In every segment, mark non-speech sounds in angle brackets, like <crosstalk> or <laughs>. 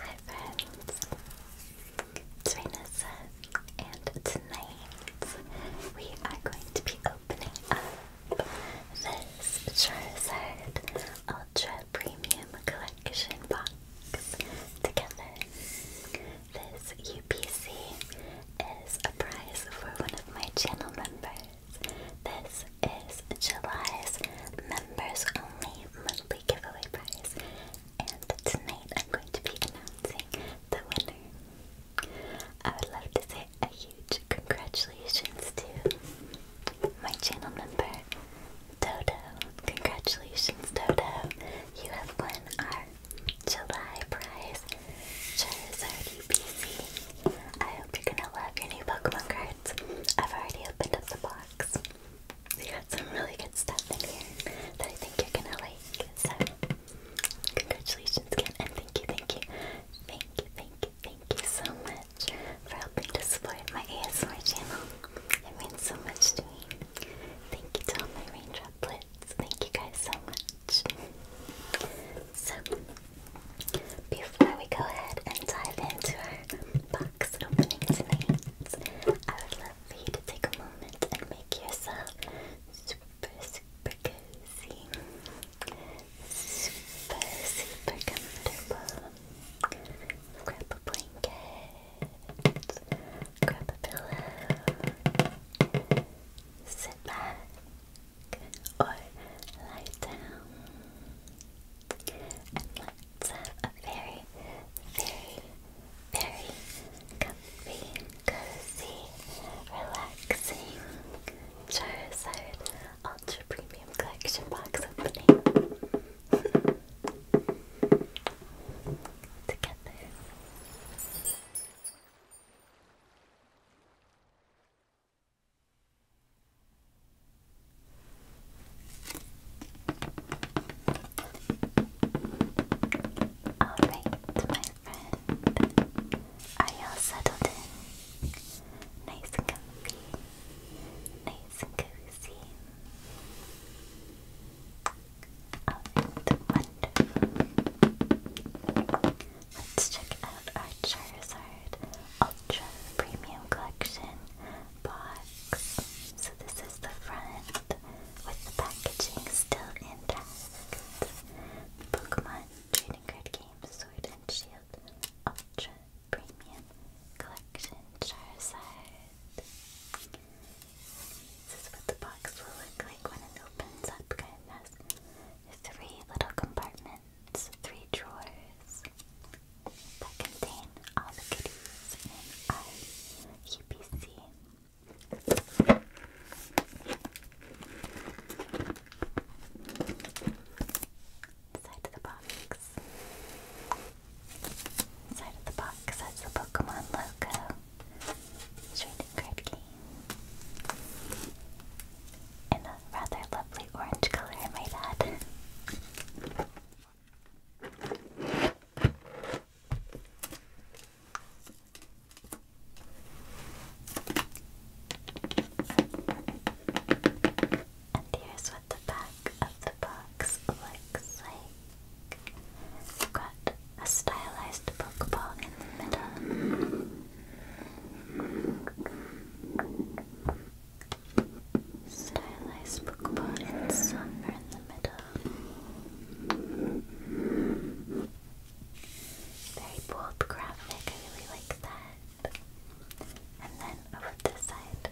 Hi friends, it's Vanessa, and tonight we are going to be opening up this Charizard Ultra Premium Collection box together. This UPC is a prize for one of my channel members. This is July's members only monthly giveaway prize, and tonight I'm going to be announcing the winner. I would love to say a huge congratulations to my channel member, Dodo. Congratulations, Dodo! You have won our July prize, Charizard UPC. I hope you're gonna love your new Pokemon cards. I've already opened up the box. We got some really good stuff in here that I think you're gonna like. So, congratulations again, and thank you, thank you, thank you, thank you, thank you so much for helping to support my ASMR channel. It means so much to me. Thank you to all my raindroplets. Thank you guys so much. So, before we go ahead and dive into our box opening tonight, I would love for you to take a moment and make yourself super, super cozy, super, super comfortable. Grab a blanket, grab a pillow, sit back, or lie down. And let a very, very, very comfy, cozy, relaxing Charizard Ultra Premium Collection box opening <laughs> together. Alright, my friend. Are y'all settled in? Nice and comfy. Nice and cozy. Alright, wonderful. Let's check out our Charizard Ultra Premium Collection box. So this is the front with the packaging still intact. Pokemon Trading Card Game Sword and Shield Ultra Premium Collection Charizard. This is what the box will look like when it opens up. It has three little compartments, three drawers that contain all the goodies in UPC. Side of the box. Side of the box has the Pokemon logo. Trading card In a rather lovely orange color, I might and here's what the back of the box looks like. We've got a stylized Pokeball in the middle. Stylized bookboard and in the middle. Very bold graphic, I really like that. And then over this side,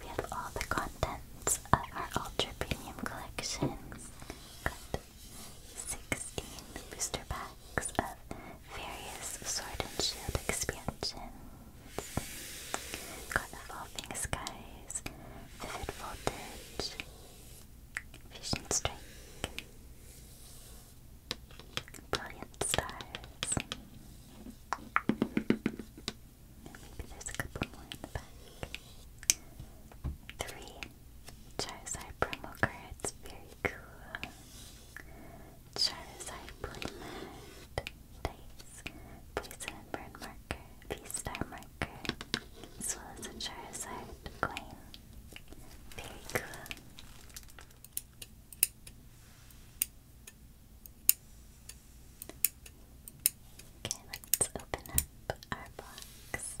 we have all the contents of our Ultra Premium collection. 16 booster packs of various Sword and Shield expansions. Got Evolving Skies, Vivid Voltage, Vision Strike, Brilliant Stars. Maybe there's a couple more in the back. Three Charizard promo cards, very cool. Charizard Playmat, dice, poison and burn marker, V-star marker, as well as a Charizard coin. Very cool. Okay, let's open up our box.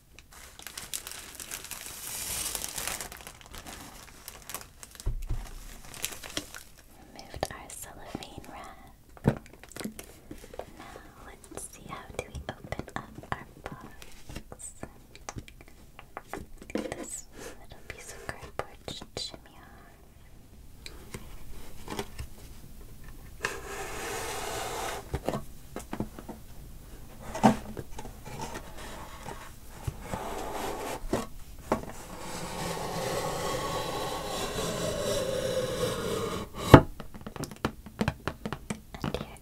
Removed our cellophane wrap. Now let's see how do we open up our box. This little piece of cardboard should shimmy and here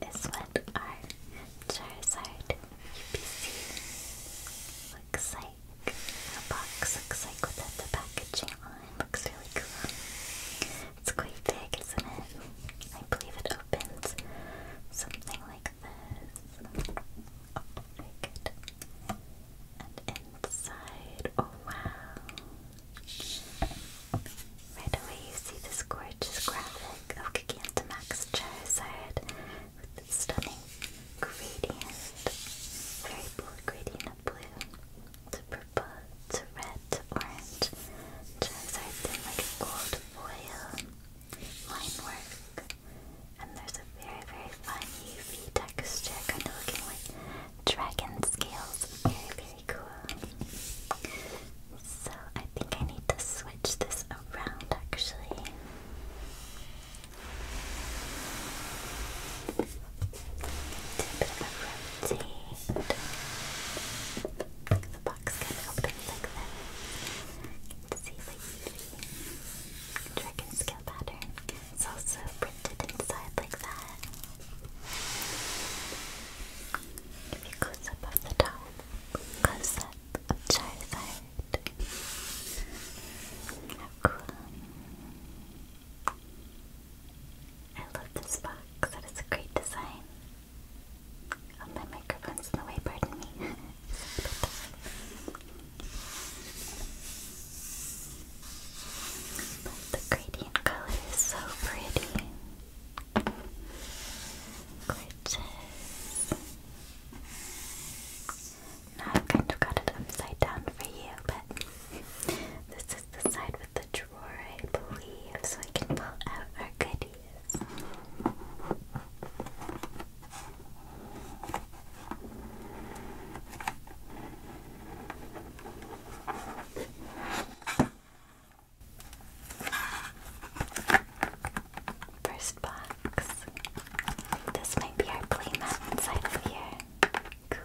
is what our Charizard UPC looks like. Our box looks like without the packaging on. Looks really cool. It's quite big, isn't it? I believe it opens something like this. Oh, very good. And inside, oh wow. Right away you see this gorgeous graphic of Gigantamax Charizard with stunning gradient. Very bold gradient of blue to purple to red to orange. Just art in gold foil line work. And there's a very, very fun UV texture, kind of looking like dragon scales. Very, very cool. So I think I need to switch this around actually. a bit of a the box kind of opens like that. You can see the dragon scale pattern. It's also printed inside like that. If you close up of the top, close up of Charizard. How cool. I love this box. That is a great design. Oh, my microphone's in the way, pardon me. the gradient color is so pretty. Gorgeous. Now I've kind of got it upside down for you, but this is the side with drawer, I believe, so I can pull out our goodies. First box. This might be our playmat inside of here. Cool.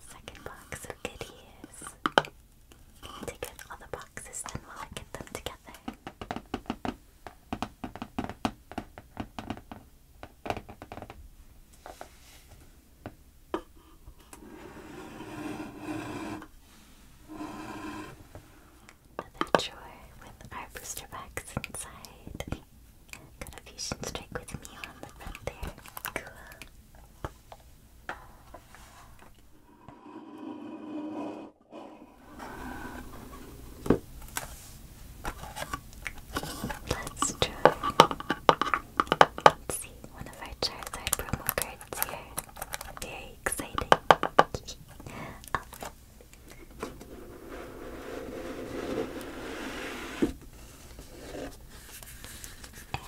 Second box of goodies. To get all the boxes done while I get them together. Another drawer with our booster box inside. Got strike with me on the front there. Cool. Let's try. Let's see, one of our Charizard promo cards it's Very exciting. And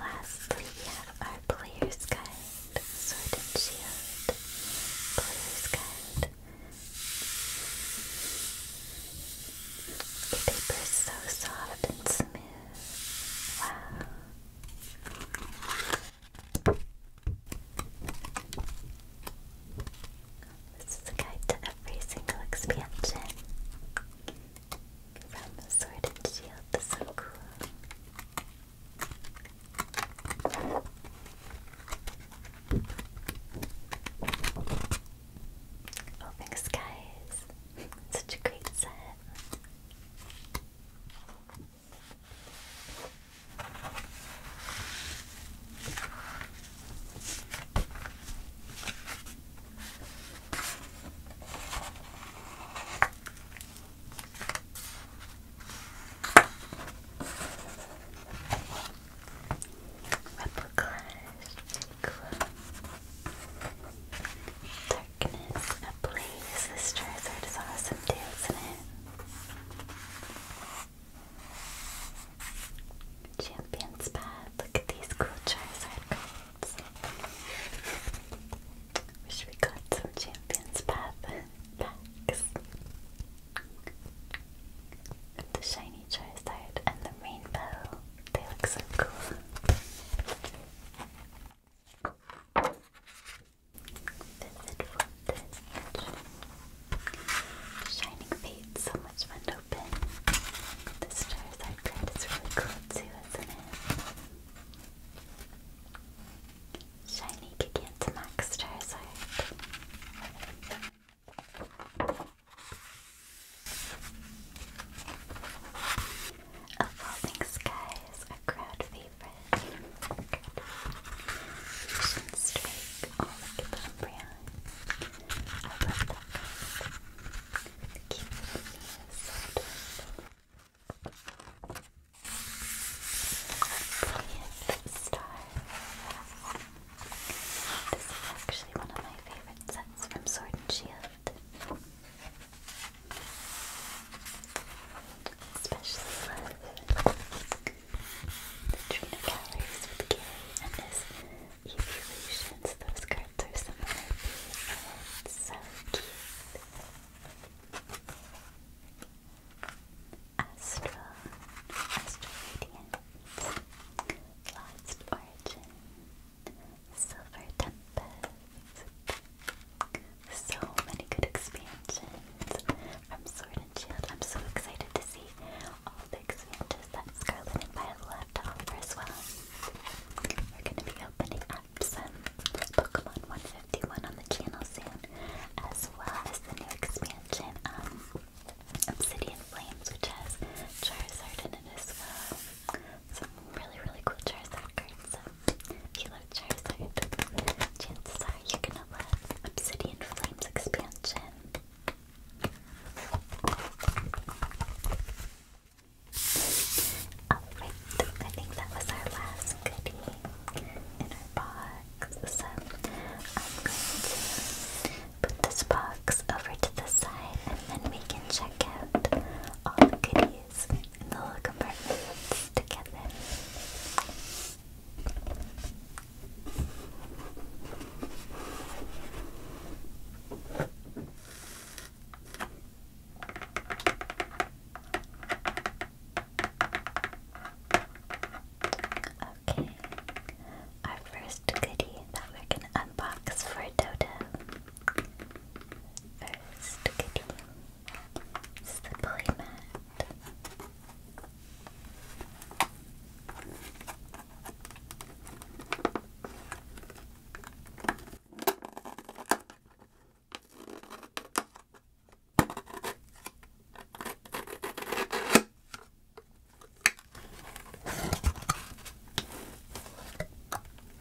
lastly, we have our Player's Guide, Sword and Player's Guide. The paper is so soft and smooth. Wow. This is a guide to every single expansion. From sword and shield to so Open skies. <laughs> Such a great set. Replicas, cool. Darkness, a blaze. This Charizard awesome too, isn't it? Champion's Path. Look at these cool Charizard Wish we got some Champion's Path packs. the shiny Charizard and the rainbow. They look so cool. Shining Fate, so much fun open. This Charizard is really cool too, isn't it? Shiny Gigantamax Charizard. A Falling Sky is a crowd favorite. Good. Strike. Oh, the Umbreon. I love that card. The cute little Mia is Brilliant Star. This is actually one of my favorite sets from Sword and Shield loved. Especially love the Trina Calories with Gary and his Evolutions. Those cards are So cute. Astral, Astral Radiant, Silver Tempest. So many good expansions from Sword and Shield. I'm so excited to see all the expansions that Scarlet and Violet have to as well. We're going to be opening up some Pokemon 151 on the channel soon, as well as the new expansion, um, Obsidian Flames, which has Charizard in it as well. Some really, really cool Charizard cards. So if you love Charizard, chances are you gonna love Obsidian Flames expansion. Alright, oh, I think that was our last goodie in our box. So I'm going to put this box over to the side and then we can check out all the goodies little compartments together. Okay, our first goodie that we're going to unbox for Dodo. First goodie slippery mat.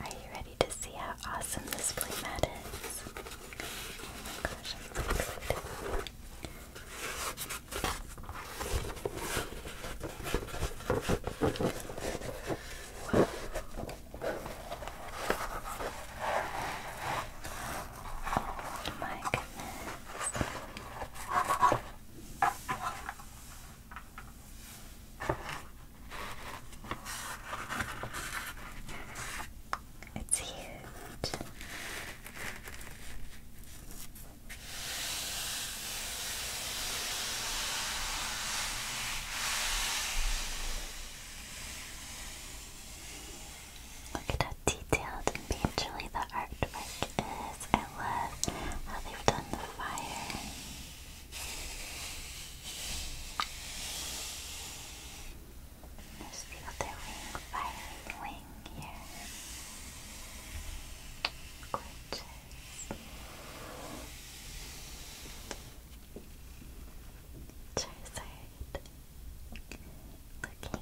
Are you ready to see how awesome this play mat is? Oh my goodness. It's huge. Look at how detailed and painterly the artwork is. I love how they've done the fire. There's the other wing, fiery wing here. Gorgeous. Charizard. Looking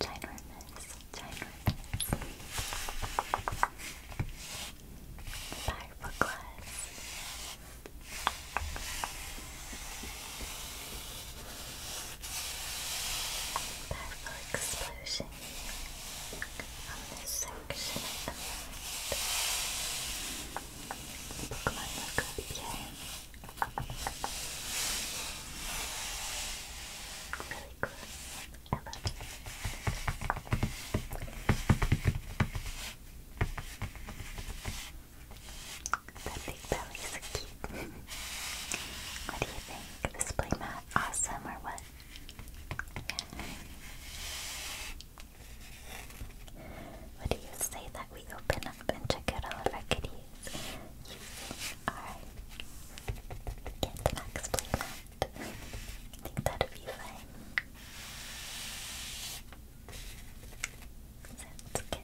ginormous, ginormous. Fiberglass. Powerful explosion on this section of the map. Really cool. That big belly is cute. what do you think? This playmat awesome or what? What do you say that we open up and check out all of our kitties? You think our Get Max playmat? I think that'd be fun. Sounds good.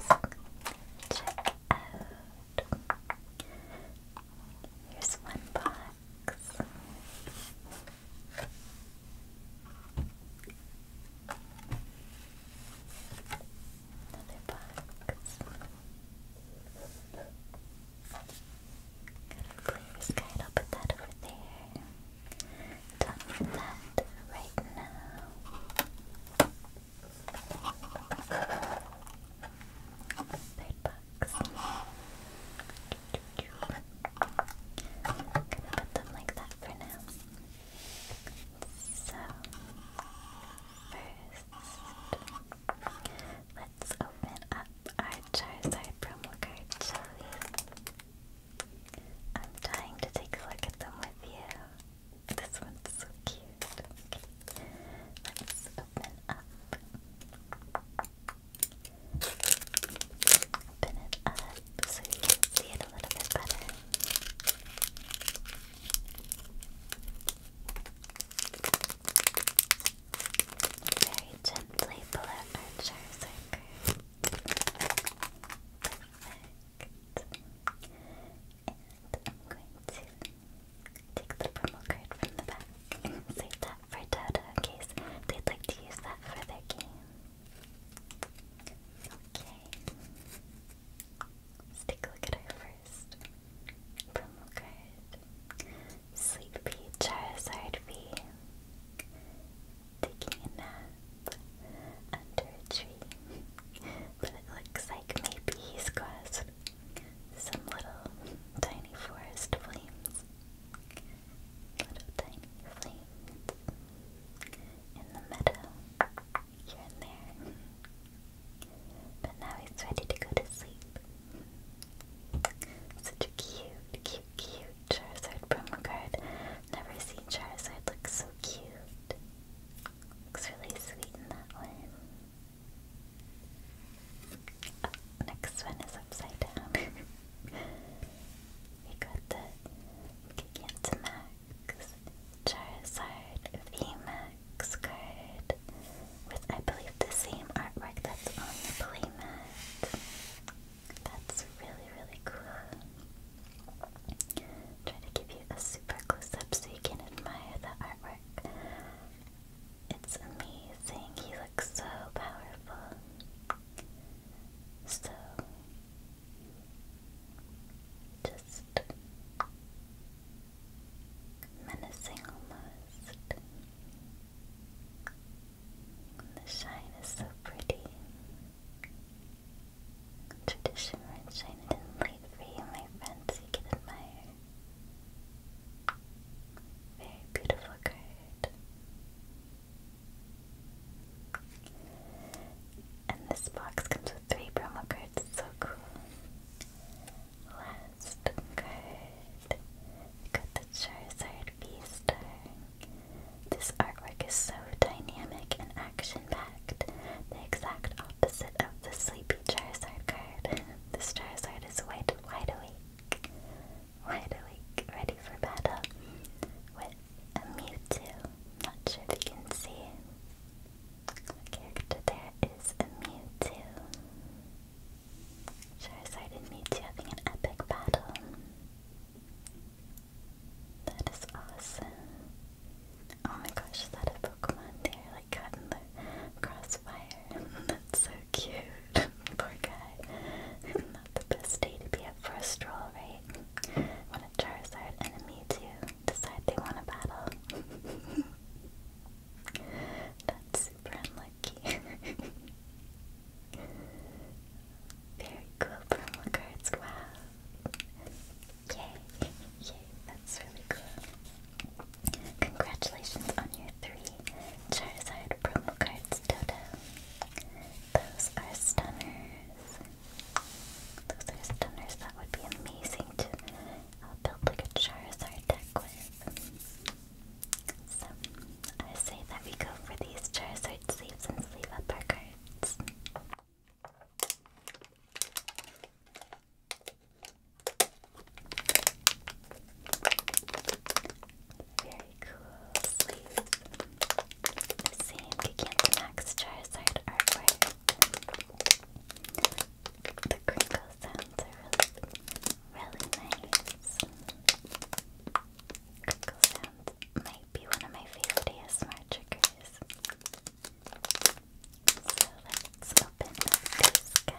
Let's check out. Here's one box. Another box. Blue sky, I'll put that over there. Done with that right now. Bird box. i gonna put them like that for now. So, first, let's open up I chose that promo code, I'm dying to take a look at them with you. This one's so cute. Let's open up. Open it up so you can see it a little bit better. Very gently pull out our Charizard Perfect. And I'm going to take the promo card from the back save that for Dota case they'd like to use that for their game. Okay. Let's take a look at our first promo card. Sleepy Charizard V taking under a tree. but it looks like maybe he's caused some little tiny forest flames. Little tiny flames in the meadow, here and there. But now he's ready to go to sleep. Such a cute, cute, cute Charizard promo card. Never seen Charizard look so cute. Looks really sweet in that one. Oh, next one is upside down. <laughs> we got the Gigantamax Charizard VMAX card with, I believe, the same artwork that's on the playmat. That's really, really cool. Try to give you a super close up so you can admire the artwork. It's amazing. He looks so powerful. So, just menacing almost. The shine is so pretty. Tradition red shine and in light for my fancy, you can Very beautiful card. And this box comes with three promo cards, so cool. Last card Charizard. the Charizard v This artwork is so dynamic and action-packed. The exact opposite of the sleepy Charizard card. <laughs> this Charizard is wide, wide awake. Wide awake, ready for battle. With a Mewtwo. Not sure if you can see. The character there is a Mewtwo. Charizard meets you having an epic battle. That is awesome. Oh my gosh, is that a Pokemon there? Like caught the crossfire. <laughs> That's so cute. <laughs> Poor guy. <laughs> Not the best day to be up for a stroll, right? When a Charizard and a decide they want to battle. That's super unlikely lucky. <laughs> Very cool promo cards, wow. Yay, yay, that's really cool. Congratulations on your three Charizard promo cards, Dodo. Those are stunners. Those are stunners that would be amazing to uh, build like a Charizard deck with. So, I say that we go for these Charizard sleeves and sleeve up cards. Very cool sleeves. The same Gigantamax Charizard artwork. The crinkle sounds are really nice. Crinkle sounds might be one of my favorite ASMR triggers. So let's open up these guys.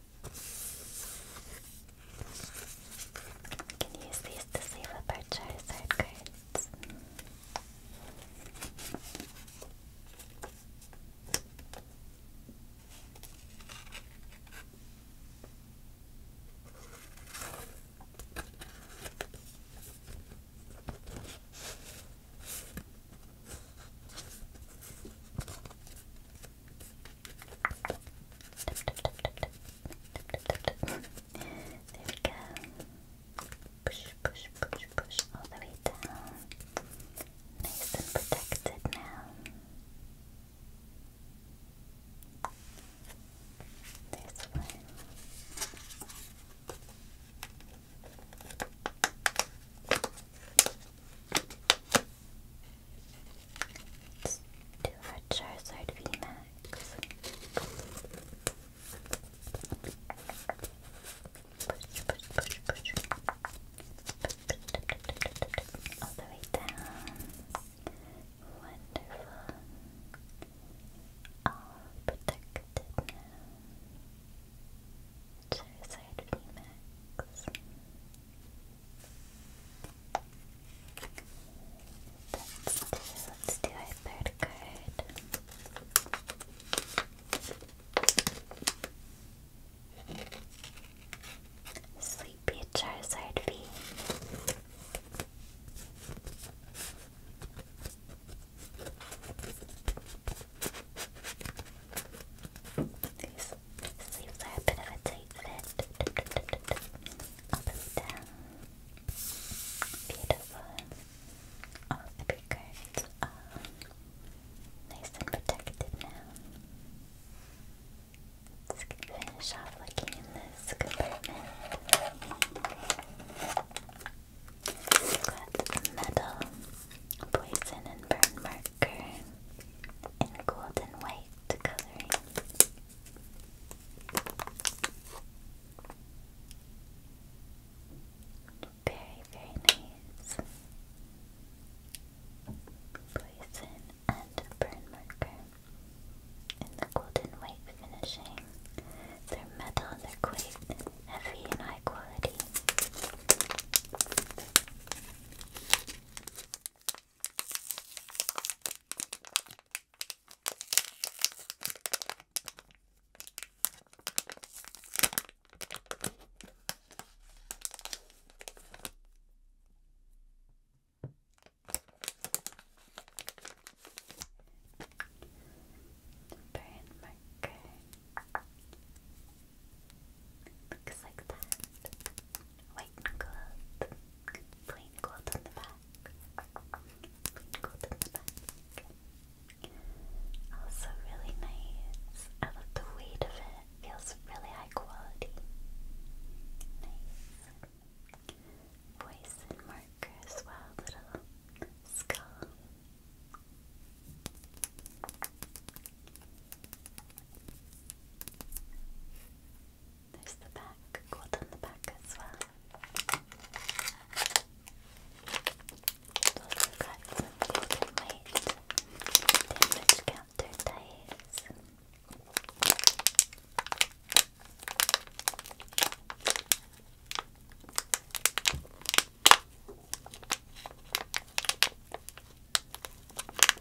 You can use these to save up our Charizard cards. There we go. Push, push, push, push all the way down. Nice and protected now. There's one. Let's our Charizard VMAX. Push, All the way down. Wonderful. All protected now. Charizard VMAX. Let's do, let's do our third card. Sleepy Charizard B. These Leave there bit of a tight fit. Up and down. Beautiful. All the big nice and protected now. Let's finish off looking in this compartment. we metal, poison, and burn mark darker in gold and white coloring. Very, very nice. Poison and burn marker in the golden white finishing. They're metal, they're quite heavy and high quality. Burn marker. Looks like that white cloth, plain cloth on the back, plain cloth on the back. Also really nice. I love the weight of it. Feels really high quality. Nice. Voice and marker well. Little skull. There's the back, gold on the back as well. also got some gold and white damage counter dice.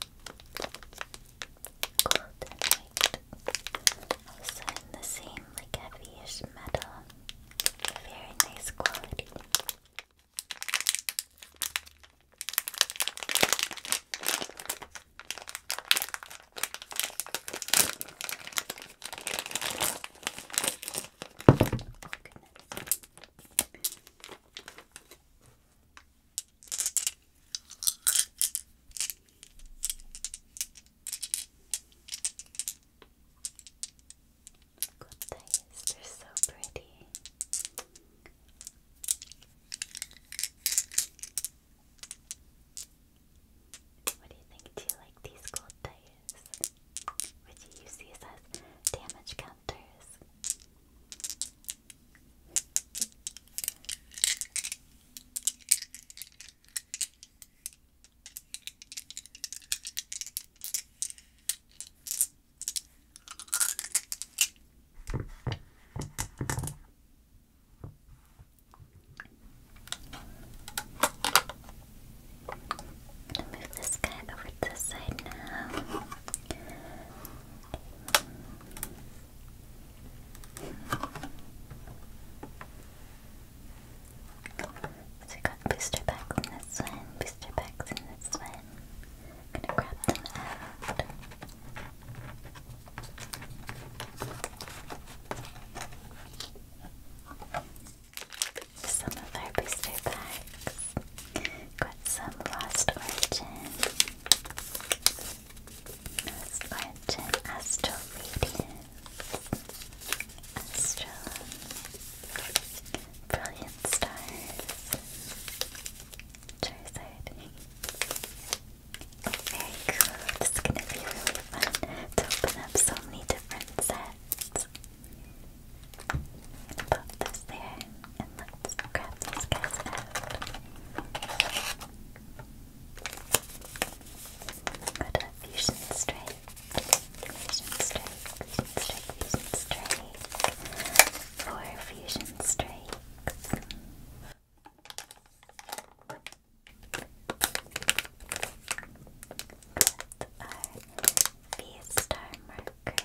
Gold and Also in the same like heavyish metal. Very nice quality. Goodness, they're so pretty. What do you think? Do you like these gold dice? Would you use these as damage counters? Move this guy over to the side now. So we got booster packs in this one, booster packs in this one. gonna grab them out. Some of our booster packs. Got some Lost Origin. Let's brilliant stars, Very cool. This is gonna be really fun to open up so many different sets. i this there, and let's grab these guys what a fusion strike. Fusion strike, fusion strike, fusion strike. Four fusion strikes. With our V star marker.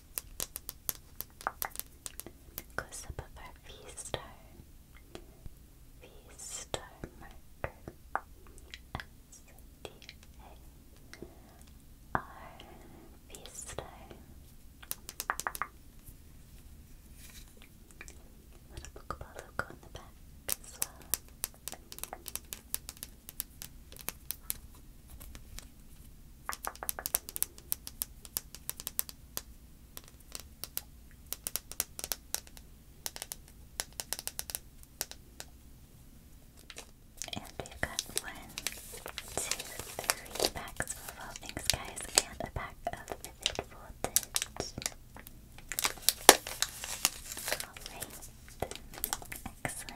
Goes above our V star, V star marker, S D A R V star. Little logo on the back as well. And we got one, two, three packs of Evolving Skies and a pack of Vivid Alright, excellent.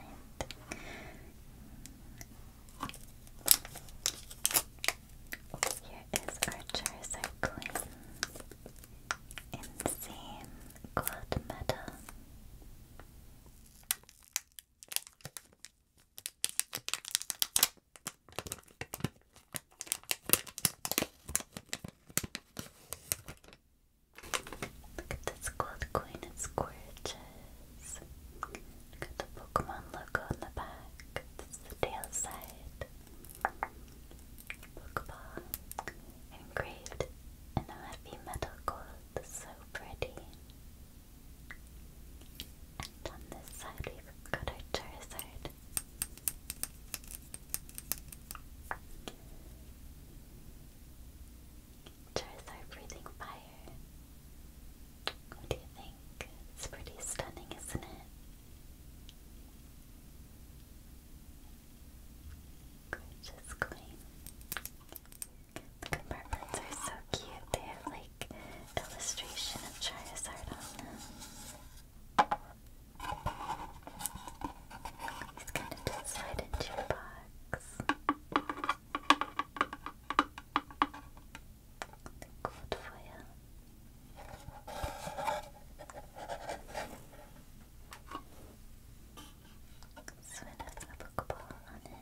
Here is our Charizard in gold medal. Look at this gold coin, it's gorgeous is. the Pokemon logo on the back. This the tail side. Pokeball engraved in a heavy metal gold. So pretty. And on this side, we've got our Charizard. Jars are breathing fire. What do you think? It's pretty stunning, isn't it? Gorgeous queen. The compartments are so cute. They have like illustration of Charizard on them. He's gonna slide into your box. Good for you. So it has a book on it.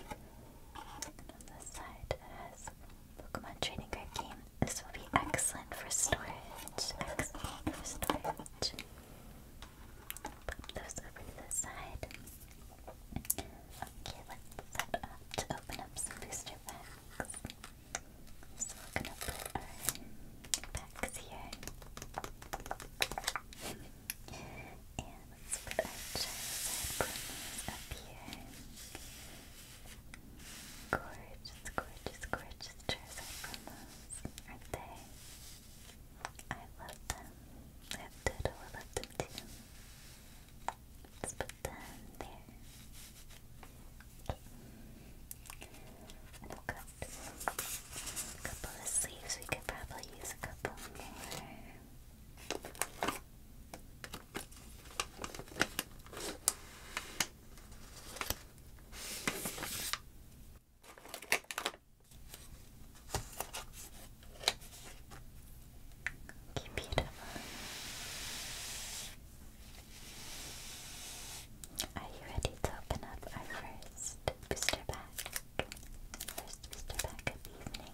on the side it has Pokemon Trading Card Game. This will be excellent for storage. Excellent for storage. Put those over to the side. Okay, let's set up to open up some booster packs. So we're gonna put our packs here. <laughs> and let's put our Charizard up here. Gorgeous, gorgeous, gorgeous Charizard promos, are they? I love them. I I love them too. Let's put them there. Okay. And we a couple of sleeves. We could probably use a couple more. Beautiful. Are you ready to open up our first booster pack? First booster pack of the evening.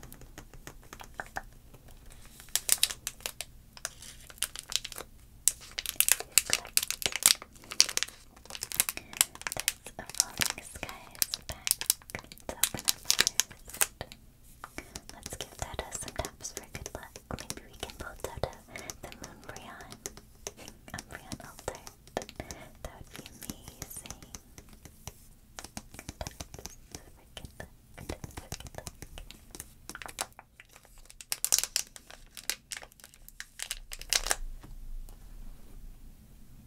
There's a Falling Skies pack. Let's give Dota some taps for good luck. Maybe we can pull Dota the Moonbryon, Umbreon Altar. That would be amazing. for good luck.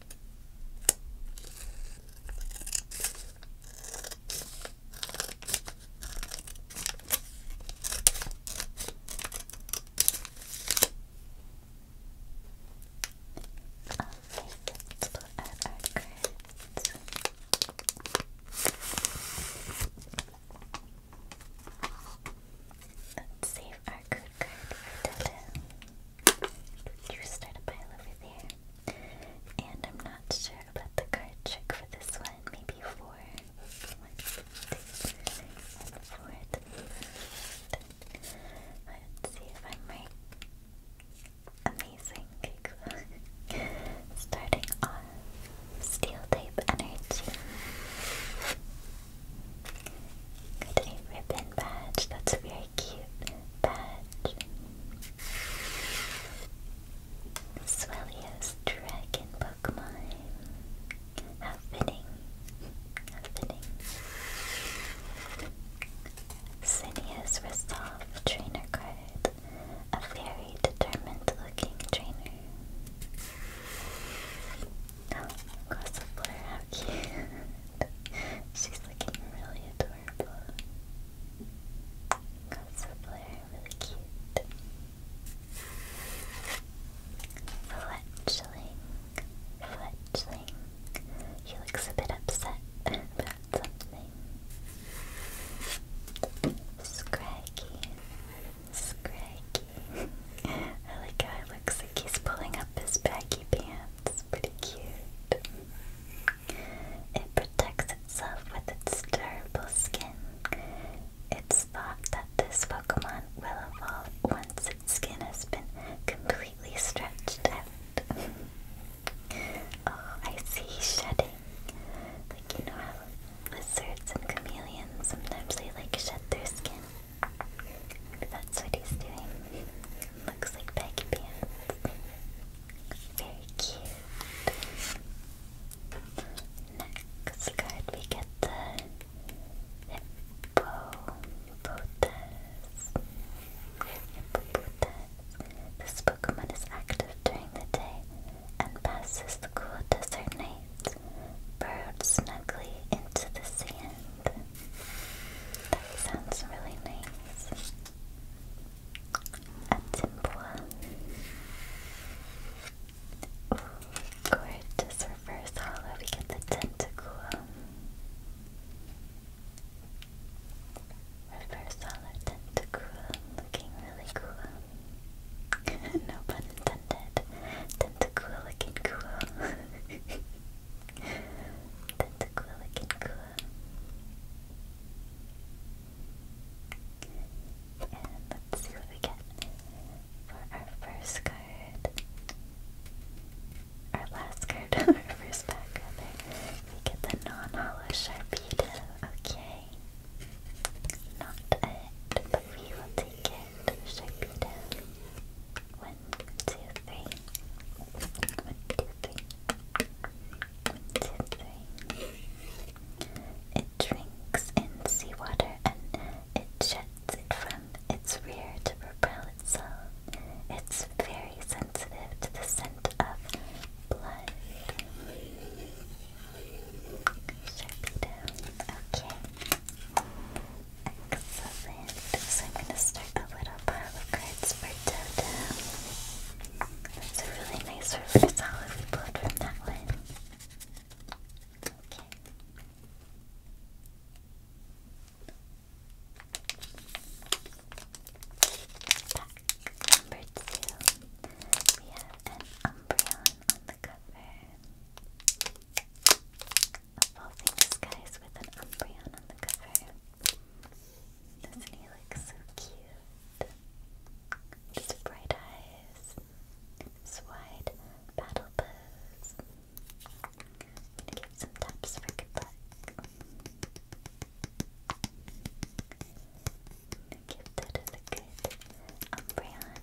let's put Let's save our good card for Dodo. You start a pile over there. And I'm not sure about the card trick for this one. Maybe four. One, one, four, three, Let's see if I'm right. Amazing. <laughs> Starting off, steel tape energy. Got ribbon badge. That's very cute badge. Swellios Dragon Pokemon. How fitting. How fitting. Trainer Card. A very determined looking trainer. Oh, Gossifleur, how cute. <laughs> She's looking really adorable adorable. really cute. Fletchling, Fletchling. He looks a bit upset about something. Scraggy, Scraggy. I like how looks like he's pulling up his baggy pants. Pretty cute. It protects itself with its durable skin. It's thought that this Pokemon will evolve once its skin has been completely stretched out. <laughs> oh, I see shedding. Like, you know how lizards and chameleons sometimes they like shed their skin? That's what he's doing. Looks like baggy pants. Very cute. Next card, we get the Hippopotas. Hippopotas. This Pokemon is active during the day and passes the cool desert night, burrowed snugly into the sand. That sounds really nice. Atimboa. Ooh, gorgeous reverse hollow. We get the tentacool. Reverse hollow tentacool. Looking really cool. <laughs> no pun intended. Tentacool looking cool. <laughs> let's see what we get for our first card. Our last card <laughs> our first pack, We get the non hollow Sharpedo. Okay. Not it, but we will take it. Sharpedo. One, two, three. One, two, three. It drinks in seawater and it jets it from its rear to propel itself. It's very sensitive to the scent of blood. Sharpie down. Okay. Excellent. So I'm going to start a little pile of cards for Dodo. That's a really nice reverse olive we pulled from that one. Okay. Pack number two. We have an Umbreon on the cover. Evolving Skies with an Umbreon on the cover. Doesn't he look so cute? His bright eyes, his wide battle pose. give some taps for good luck. give that a good Umbreon.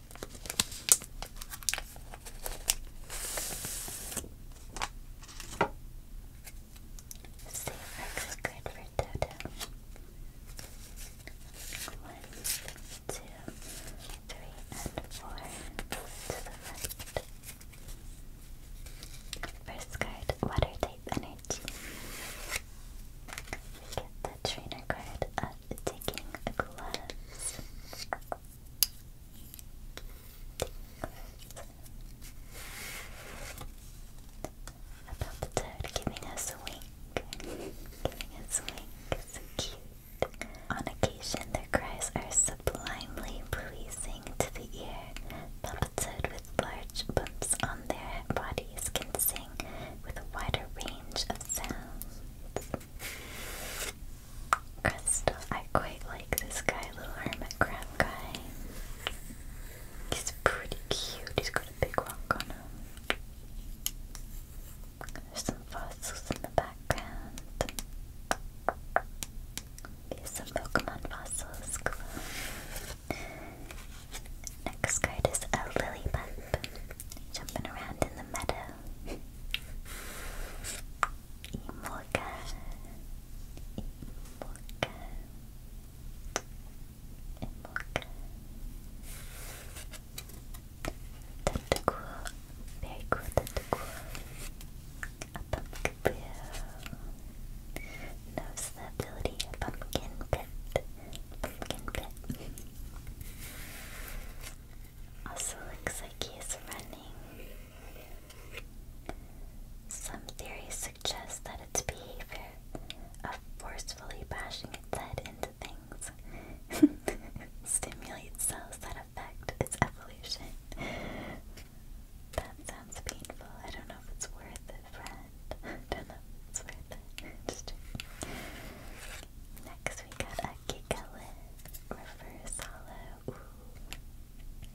looks good for Toto. One, two, three, and four to the right. First card, water type energy a trainer card of taking gloves. About the toad giving us a wink. giving us a wink. So cute. On occasion, their cries are sublimely pleasing to the ear. Papa with large bumps on their bodies can sing with a wider range of sounds. Crystal, I quite like this guy, little hermit crab guy. He's pretty cute. He's got a big rock on him. There's some fossils in the background. Here's some Pokemon fossils. Cool. Next card is a lily bump. Jumping around in the meadow. Imorka. Imorka. Imorka. Tentacool. Very cool tentacool. A pumpkin boo. Knows the pumpkin pit. Pumpkin pit. Also looks like he is running. Some theories suggest that its behavior of forcefully bashing its head into things <laughs> stimulates cells that affect its evolution. That sounds painful. I don't know if it's worth it, friend. <laughs> don't know if it's worth it. Next because we got a Gigalith reverse hollow. Ooh.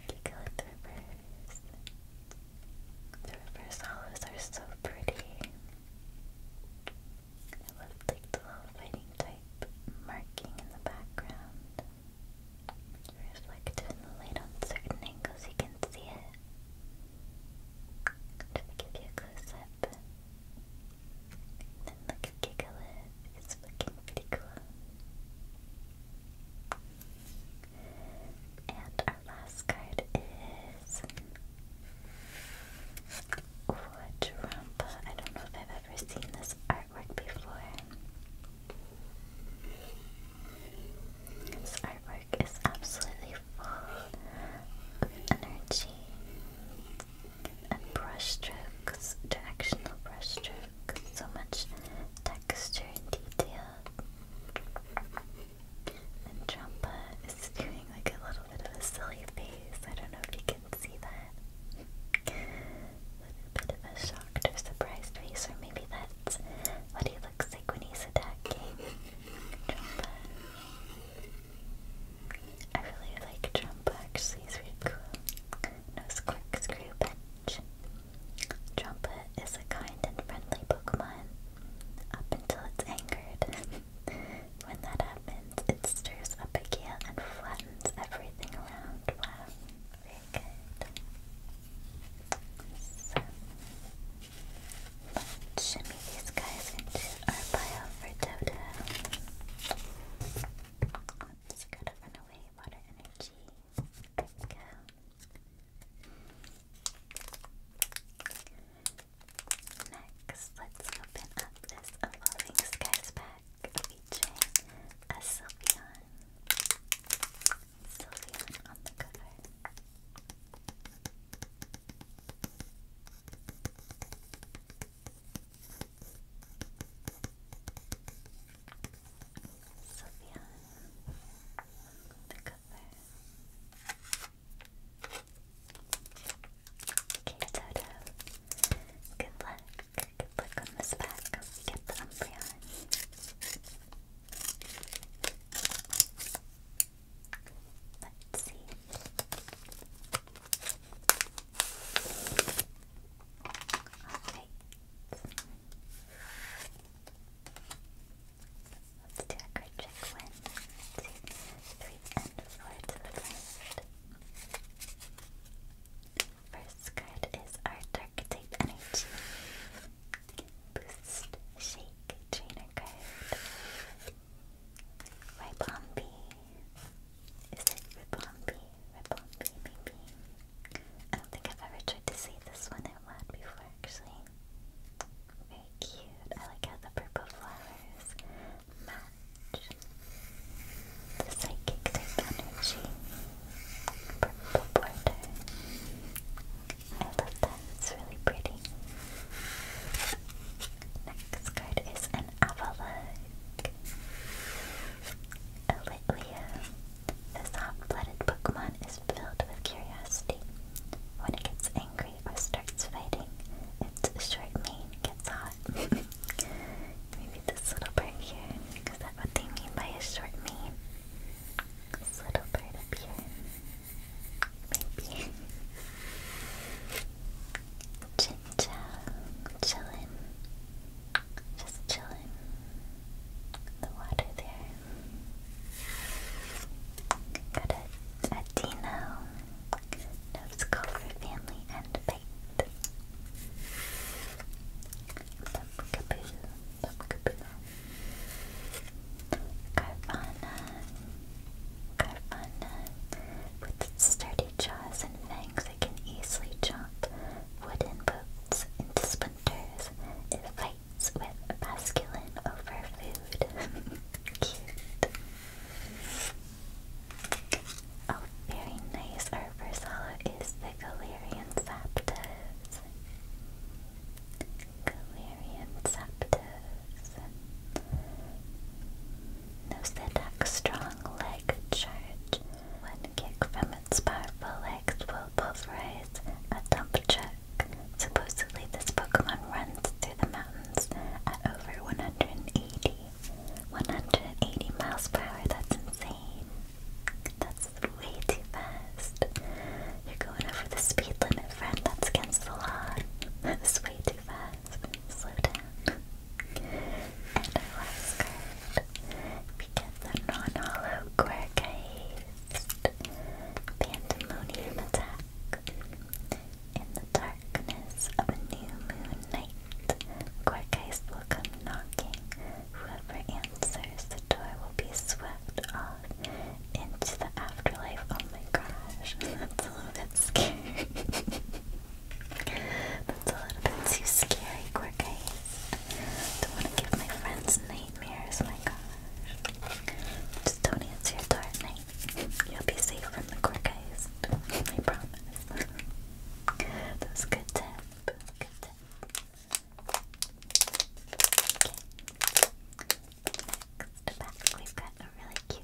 Gigalith reverse. reverse hollows are so pretty. I love like the little fighting type marking in the background. Reflected in the on certain angles, you can see it. Just to give you a close up. And look at Gigalith, it's looking pretty cool. And our last card is Quadrumpa. I don't know if I've ever seen this artwork before. This artwork is absolutely full of energy and brush strokes, directional brush strokes, so much texture and detail. And Trumpa is doing like a little bit of a silly face. I don't know if you can see that. A bit of a shocked or surprised face, or maybe that's what he looks like when he's attacking Trumpa. I really like Trump actually, it's really cool. No Squirk Screw Bench. Trumpet is a kind and friendly Pokemon up until it's angered. <laughs> when that happens, it stirs up a gale and flattens everything around. Wow, very good these guys into our bio for Toto. Let's go to Runaway Water Energy. Next, let's open up this Evolving Skies pack featuring a Sylveon. Sylveon on the cover. Sophia, the cover. Okay, Toto. Good luck. Good luck on this pack. get the Umbreon. Let's see. Alright. Let's do a card One, two, three, and four to First card is our Dark Type Energy. Boost, Shake, Trainer card. Ribombee. Is it Ribombee? Ribombee, maybe? I don't think I've ever tried to say this one out loud before, actually. Very cute. I like how the purple flowers match the psychic type energy. Purple border. I love that. It's really pretty. This card is an Avalok. A Litleo. This hot-blooded Pokemon is filled with curiosity. When it gets angry or starts fighting, its short mane gets hot. <laughs> Maybe this little part here. Is that what they mean by a short mane? This little part here. Maybe. <laughs> Chin chow, chillin', just chillin'. The water there. Got a, a Dino, Nose Cobra family, and bait. Bump kaboo, Carvana, Carvana with sturdy jaws and fangs that can easily chop wooden boats into splinters. It fights with masculine over food. <laughs> Cute. Oh, very nice. Our first hollow is the Galarian Zapdos. Galarian Zapdos. Nose attack strong leg charge. One kick from its powerful legs will pulverize a dump truck. Supposedly this Pokemon runs through the mountains at over 180. 180 miles per hour, that's insane. That's way too fast. You're going over the speed limit, friend, that's against the law. <laughs> That's way too fast slow down. And last card, we get the non-hollow quirk haste. Pandemonium attack. In the darkness of a new moon night, Gorgeist will come knocking. Whoever answers the door will be swept off into the afterlife. Oh my gosh, <laughs> that's a little bit scary. <laughs> That's a little bit too scary, Quirk Don't want to give my friends nightmares, my gosh. Just don't answer your door at night. You'll be safe from the Quirk I promise. that a good tip. Good tip. Next we've got a really cute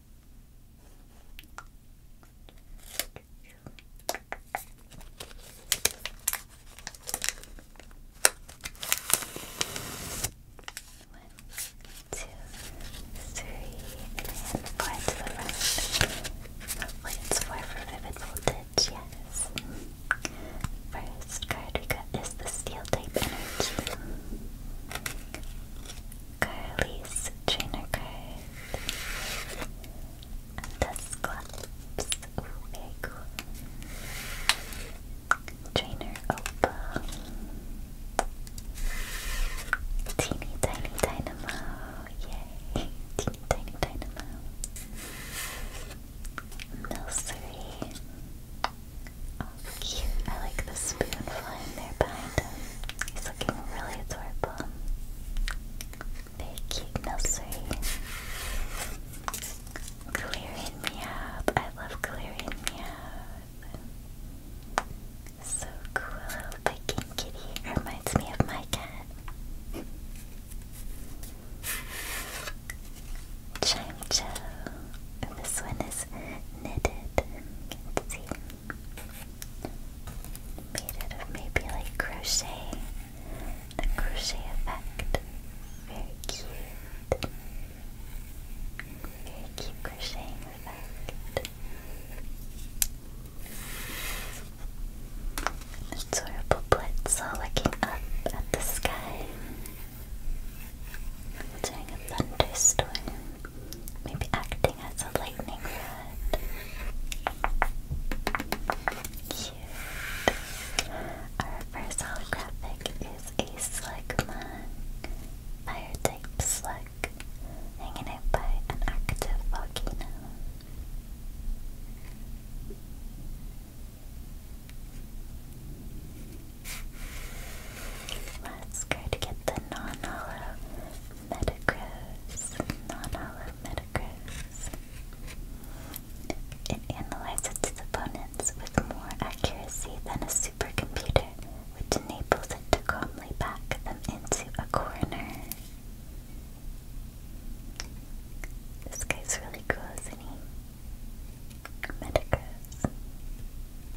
two, three, and four to the right. Hopefully it's four for vivid voltage, yes. First card we got is the steel type energy. Carly's trainer card. And Dusclops. Ooh, cool. Trainer Opal. Teeny Tiny Dynamo. Yay. Teeny Tiny Dynamo. Milcery. Oh, cute. I like the spoon flying there He's looking really adorable. Very cute nursery. Clearing me up. I love clearing me up. So cool, little picking kitty. Reminds me of my cat. Chime Joe. This one is knitted. You can see made it of maybe like crochet, the crochet effect. Very cute. Very cute crocheting effect. It's sort of Blitzel looking up at the sky. During a thunderstorm. Maybe acting as a lightning rod. Our first holographic is a Slugmon. Fire type slug. Hanging out by an active volcano. Let's go to get the non-holo Metagross, non-hollow Metagross. It analyzes its opponents with more accuracy than a supercomputer, which enables it to calmly back them into a corner. This guy's really cool, isn't he? Metagross.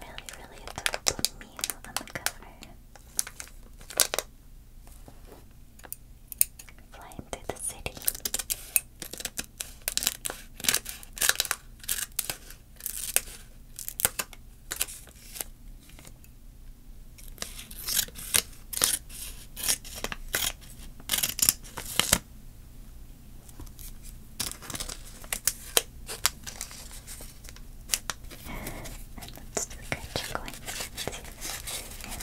Really, really adorable meal on the cover. Flying through the city. And let's do the crunch coin. And the front.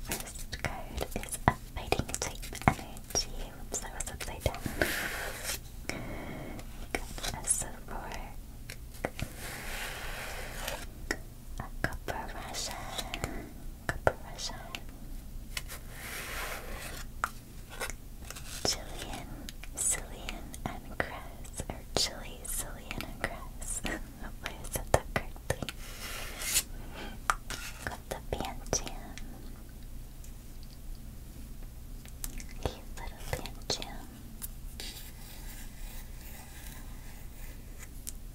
First card is a fighting type energy. Whoops, that was upside down. We got a a copper resin, copper resin. Jillian, Cillian, and Cress, or Chili, Cillian, and Cress. Hopefully I said that correctly. Got the Pancham. Cute little Pancham.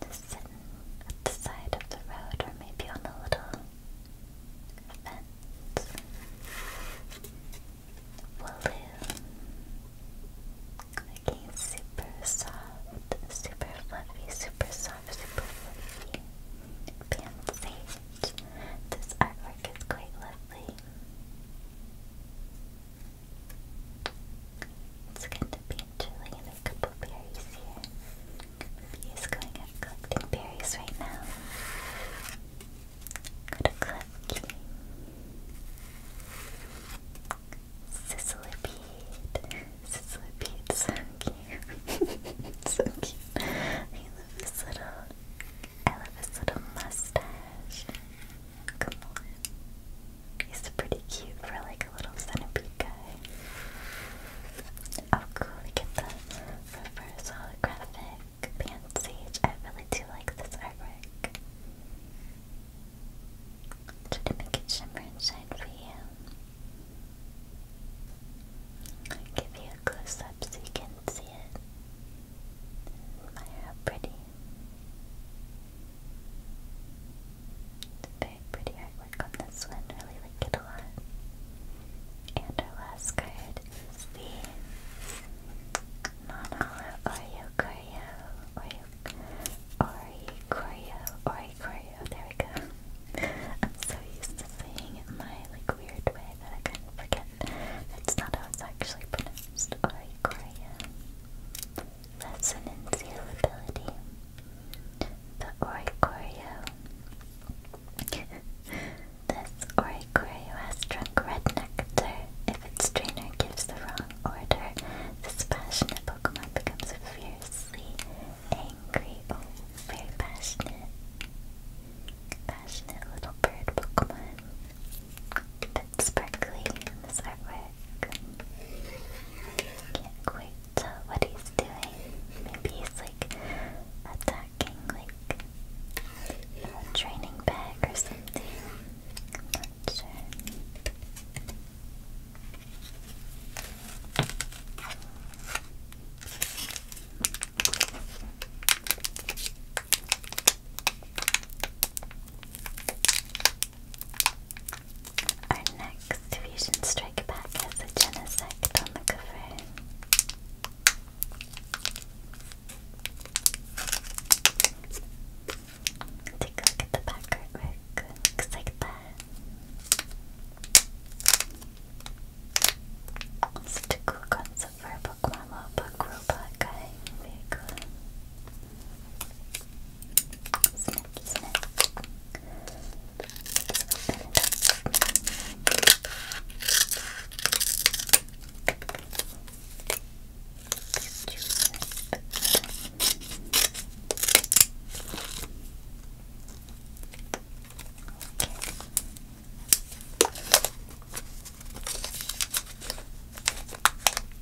Just sitting at the side of the road or maybe on a little fence. Wooloo. Okay, super soft, super fluffy, super soft, super fluffy. Pan This artwork is quite lovely. It's going to be chilly and a couple berries here. He is going out collecting berries right now. Go to Clucky. Sizzlipede. Sizzlipede's so cute. <laughs> so cute. I love his little I love his little mustache. Come on. He's pretty cute for like a little centipede guy. Oh, cool, we get the reverse holographic Pansage. I really do like this artwork. Try to make it shimmer and shine for you. give you a close up so you can see it. Admire how pretty. It's very pretty artwork on this one. Really like it a lot. And our last card is the Monala Oreo Choreo. Oreo Ori There we go. I'm so used to saying it my like weird way that I kind of forget. That's not how it's actually pronounced. Ori Choreo. Resonance Heal ability. The Oricorio. this Oricorio has drunk red nectar. If its trainer gives the wrong order, this passionate Pokemon becomes fiercely angry. Oh, very passionate. Passionate little bird Pokemon. A sparkly in this artwork. Can't quite tell what he's doing. Maybe he's like attacking like a training bag or something. sure. Our next Fusion Strike pack has a Genesect on the cover. Take a look at the back artwork. Looks like that. Such a cool concept for a Pokemon, a Pokemon robot guy. Very スナッキスナッキこ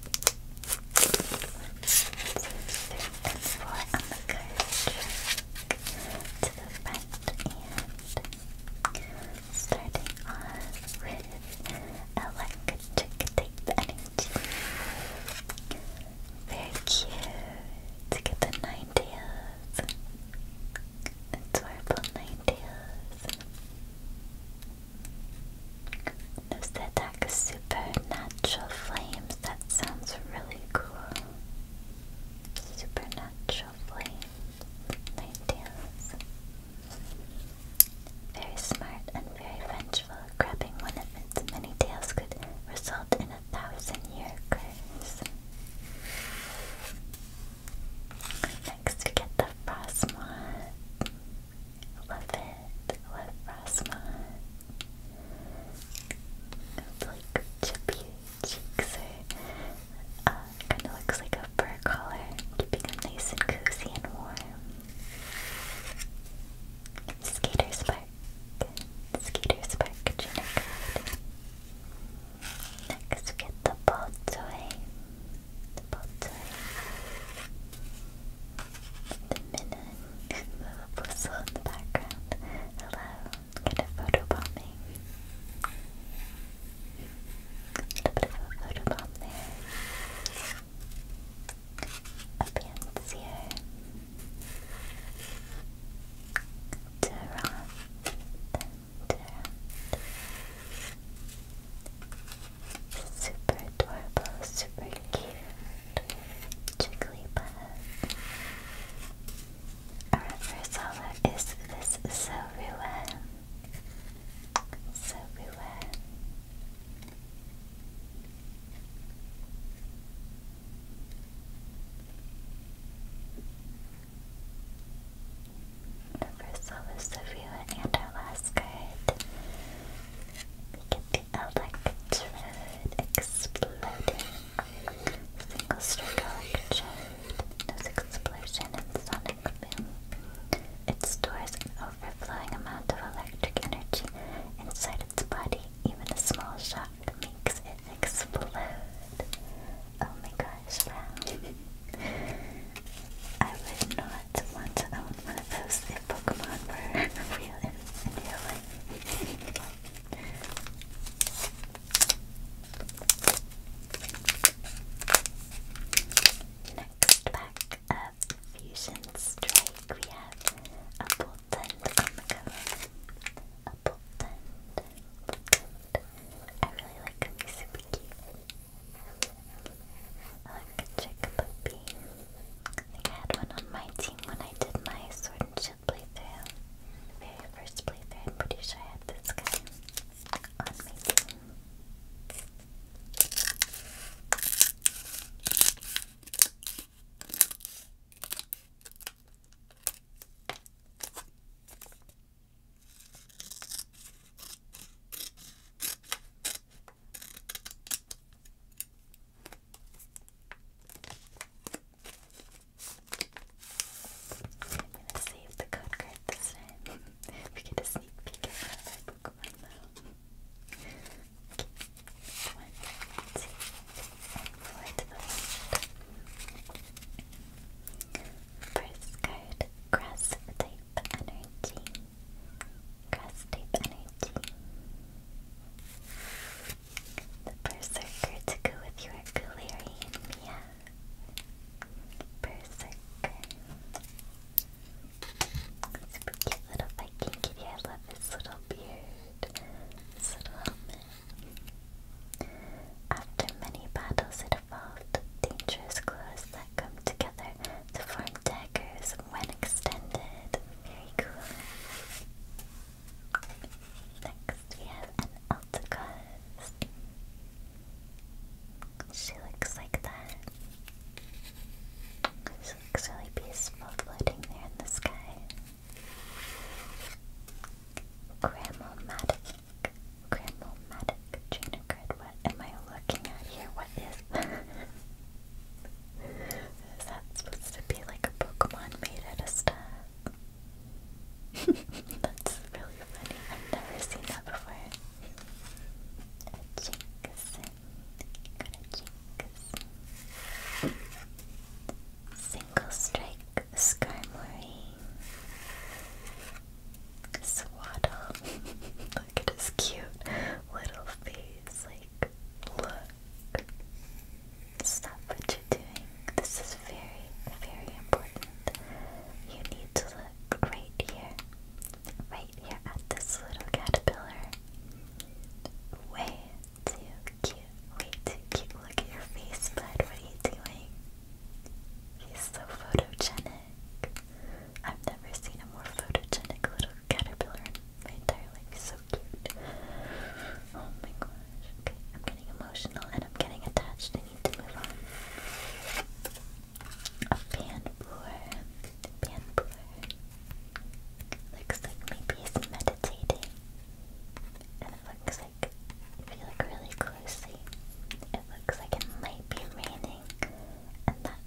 and four on the curve to the front and starting off with electric tape energy. Very cute to get the nine tails. Adorable nine does supernatural flames? That sounds really cool. Supernatural flames. Ninetales. Very smart and very vengeful. Grabbing one of its many tails could result in a thousand year curse. Next we get the Frostmoth. Love it. Love Frostmoth like chippy cheeks or uh, kind of looks like a fur collar, keeping them nice and cozy and warm. Skater Spark. Skater Spark Trainer Card. Next we get the ball toy. The ball toy. The minute the whistle in the background. Hello, get a photo bombing. A bit of a photo there. A pants here. Duran. Super duper, super very cute. Jigglypuff. Our Ursula is this Zorua. Zorua. The first one was Savila and our last card electrode exploding. Single stroke electrode. This explosion and sonic It stores an overflowing amount of electric energy inside its body. Even a small shock makes it explode. Oh my gosh, wow. I would not want to own one of those if Pokemon were real in, in Next pack of Fusion Strike, we have a Boltund on the cover. A Boltund. I really like him, he's super cute. like a chick puppy. I think had one on my team when I did my Sword and Shield playthrough. The first playthrough, I'm pretty sure I had this guy on my team. I'm gonna save the code card this time. we get a sneak peek at my Pokemon One, two, and First card, grass energy. Grass energy. The Berserker to go with your Galarian Mia. Berserker. Super cute little Viking kitty. I love his little beard. His little After many battles, it dangerous claws that come together to form daggers when extended. Very cool. Next we have an Altacuz. She looks like that. She looks really peaceful floating there in the sky. Gramomatic. Gramomatic. Trainer card. What am I looking at here? What is <laughs> Is that supposed to be like a Pokemon made out of stuff? <laughs> That's really funny. I've never seen that before. A Jinx. a Jinx. Single Strike Skarmory. Swaddle. <laughs> Look at his cute little face. Like, look. Stop what you're doing. This is very, very important. You need to look great here. Right here at this little caterpillar. Way too cute. Way too cute. Look at your face, bud. What are you doing? He's so photogenic. I've never seen a more photogenic little caterpillar my entire life so cute. Oh my gosh. Okay, I'm getting emotional and I'm getting attached. I need to move on. A panblower. Panblower. Looks like maybe it's meditating. And it looks like, if you look really closely, it looks like it might be raining. And that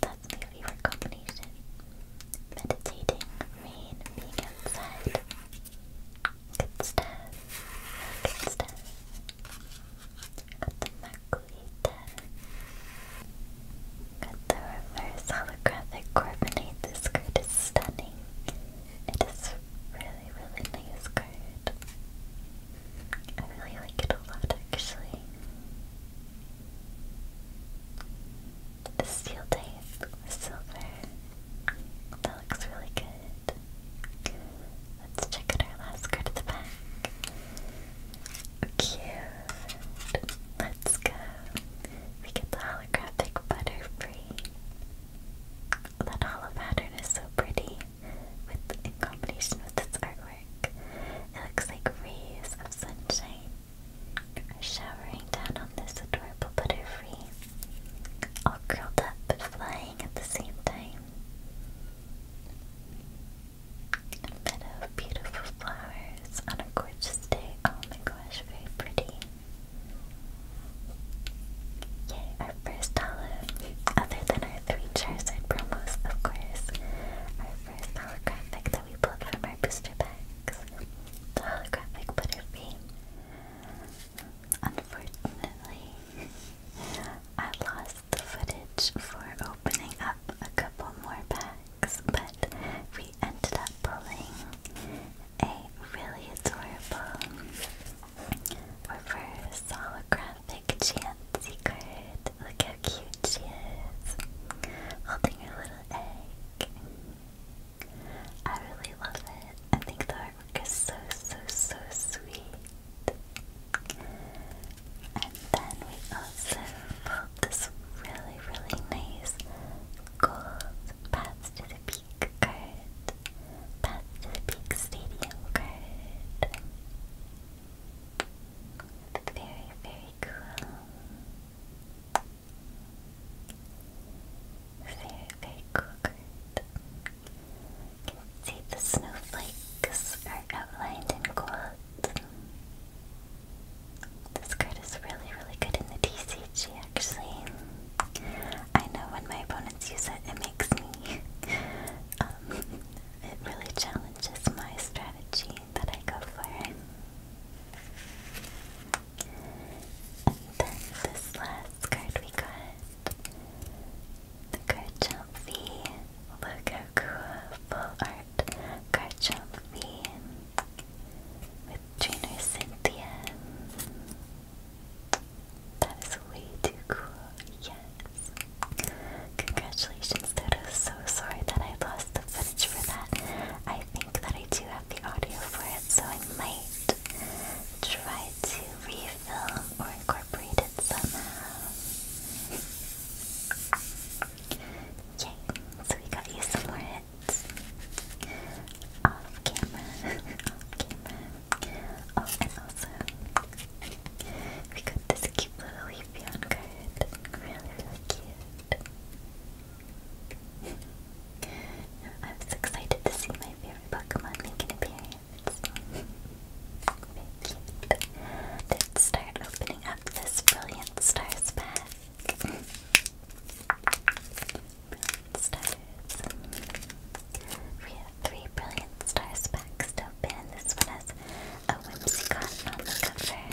that's my favorite combination imagination, meditating, rain, being outside. Good stuff. Good stuff. Got the Marquita. Got the reverse holographic coordinate. This card stunning. It is really, really nice card. I really like it a lot actually. The steel tape, silver. That looks really good. Let's check out our last card at the back. Cute. Let's go. We get the holographic butterfree. That hollow pattern is so pretty with in combination with this artwork. It looks like rays of sunshine showering down on this adorable butterfree, all curled up but flying at the same time. A meadow of beautiful flowers on a gorgeous day. Oh my gosh, very pretty. Yay, our first holo, other than our three Charizard promos, of course. Our first holographic we pulled from our booster packs. The holographic butterfree. Unfortunately, <laughs> I lost the footage for opening up a couple more packs, but we ended up pulling a really adorable reverse holographic Chansey card. Look how cute she is, holding her little egg. I really love it. I think the artwork is so, so, so sweet. And then we also pulled this really, really nice gold Path to the Peak card. Path to the Peak Stadium card. Very, very cool. Very, very cool You see the snowflakes are outlined in gold. This card is really, really good in the TCG actually. I know when my opponents use it, it makes me. Um, it really challenges my strategy that I go for. And then this last card we got. The Garchomp V. Look how cool. Full art Garchomp V. With trainer Cynthia. That is way too cool. Yes. Congratulations, Toto. So sorry that I lost the message for that. I think that I do have the audio for it, so I might try to refilm or incorporate it somehow. Yay! So we got you some more hits. Off camera. <laughs> Off camera. Oh, and also, we got this cute little Leafeon card. Really, really cute. <laughs> I am so excited to see my favorite Pokemon make an appearance. Let's start opening up this Brilliant Stars pack. We have three Brilliant Stars packs to open. This one has a Whimsicott on the cover.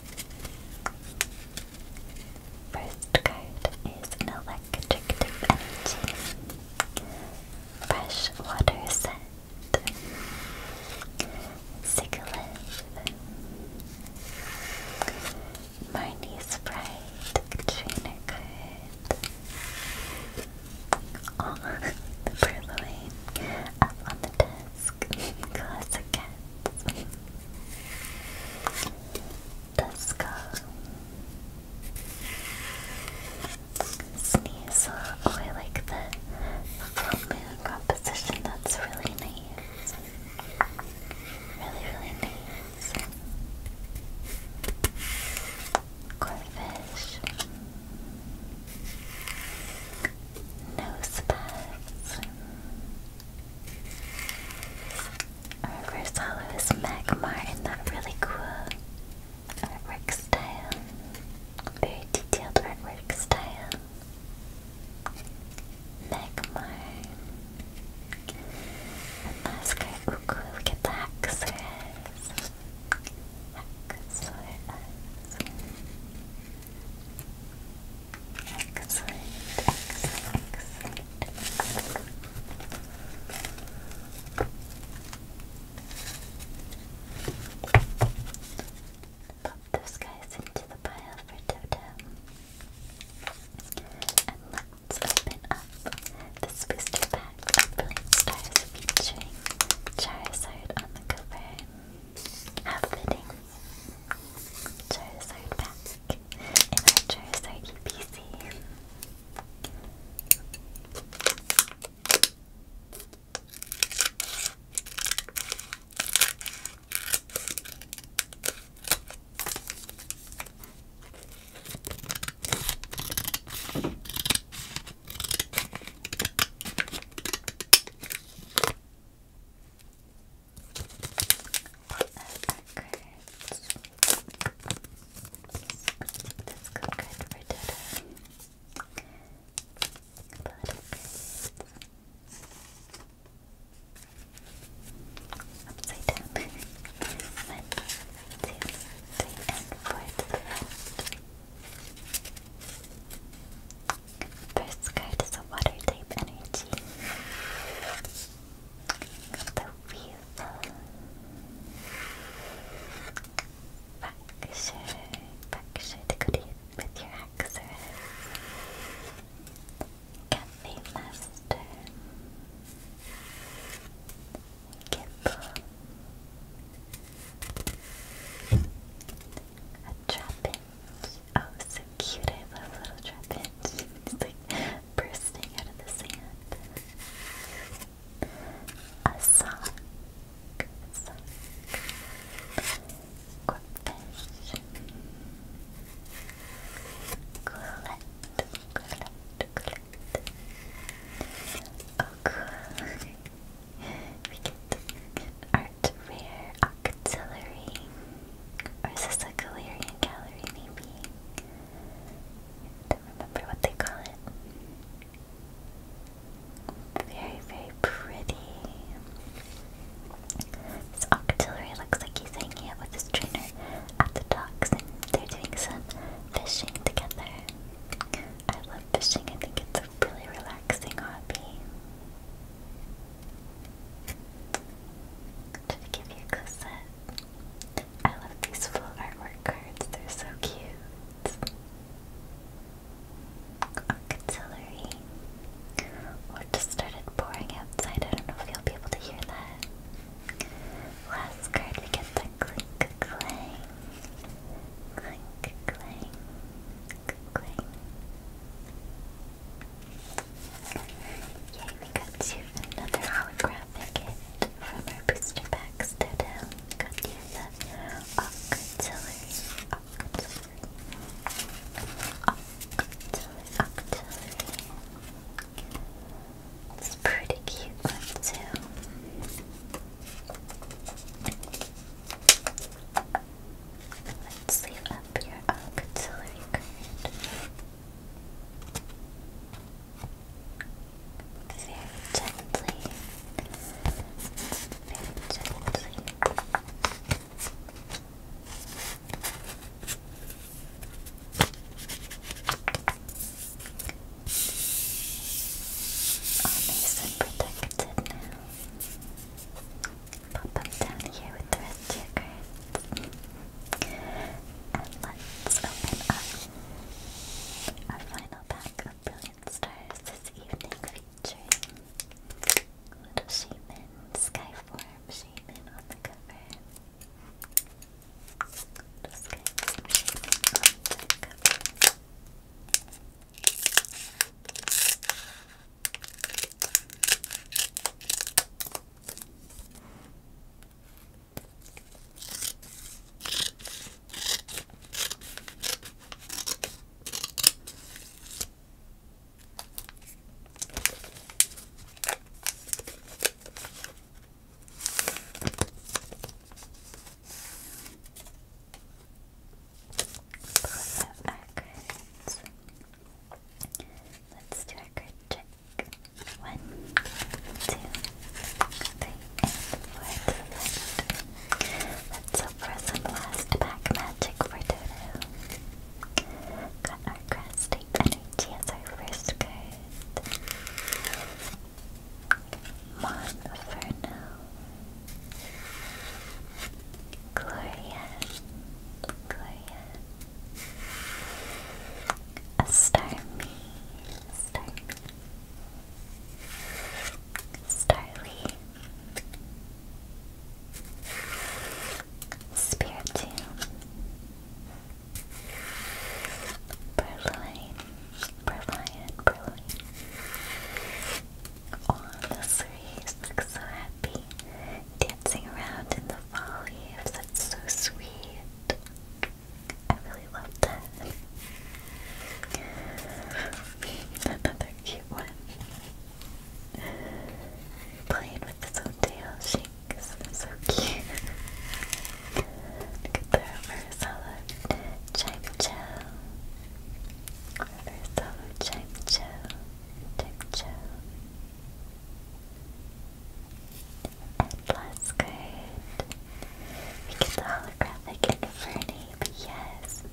First card is an electric energy. Fresh water scent. Sigilith. Marnie's Pride. Trainer card. Oh, <laughs> the purloin up on the desk. Dusk, classic cats. Duska, Sneasel. Oh, I like the composition. That's really nice. Really, really nice. Corfish nose pads. Our reverse hollow is Magmar in that really cool artwork style. Very detailed artwork style. Magmar. And last card, get the Haxorus. Excellent, excellent, those guys into the pile for Toto. And let's open up this booster pack of Blink Stars featuring Charizard on the cover. How fitting. Charizard back in our Charizard UPC. Let's go get rid Upside down. One, two, three, and four to the left. First card is a water type energy. the Weevil. Fracture. Fracture to go to with your Haxorus. Cafe Master. Gibble. A Trapinch. Oh, so cute. I love little Trapinch. It's like bursting out of the sand. A sock. A sock. Corpfish. Quillette. Quillette. Quillette. Oh, cool. <laughs> we get, get our what rare octillery? Or is this a Galarian gallery maybe? don't remember what they call it. Very, very pretty. This octillery looks like he's hanging out with his trainer at the docks and they're doing some fishing together. I love fishing, I think it's a really relaxing hobby. To give you a Cosette. I love these full artwork cards, they're so cute. Artillery. Or just started pouring outside. I don't know if you'll be able to hear that. Last card, we get the clink clang. Clink clang. Clink clang. Yay, we got you another holographic hit from our booster packs. They're down. Got you the Octillery. It's pretty cute one, too. Let's leave up your oh, auxiliary card. Very gently. Very gently. All nice and protected now pop them down here with the rest of your And let's open up our final pack of Brilliant Stars this evening featuring Little Shaman, Skyform Shaman on the cover. Little Skyform Shaman on the cover. Brilliant, okay. Let's do a card check. One, two, three, and four Let's hope some last pack magic for Dodo. Got our grass energy as our first card. Monferno. Gloria, Gloria, a star Starly, Spiritomb, Purloin, Purloin, Purloin. Oh, those three look so happy dancing around in the fall That's so sweet. I really love that. Another cute one. Playing with his tail So cute. Look at the Versala Chime Chow. Versala Chime Chow. Plus, good. We the holographic Infernape, yes,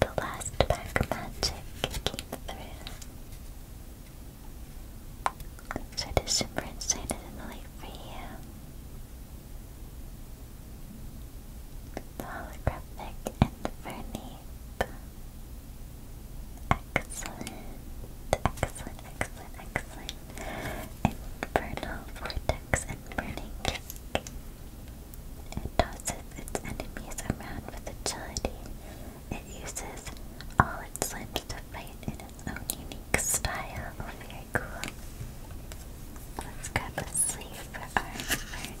the last pack magic came through. So it is super excited late for The holographic Infernape. Excellent, excellent, excellent, excellent. Infernal Vortex and Burning Kick. It tosses its enemies around with agility. It uses all its limbs to fight in its own unique style. Oh, very cool. Let's grab a sleeve for our burning.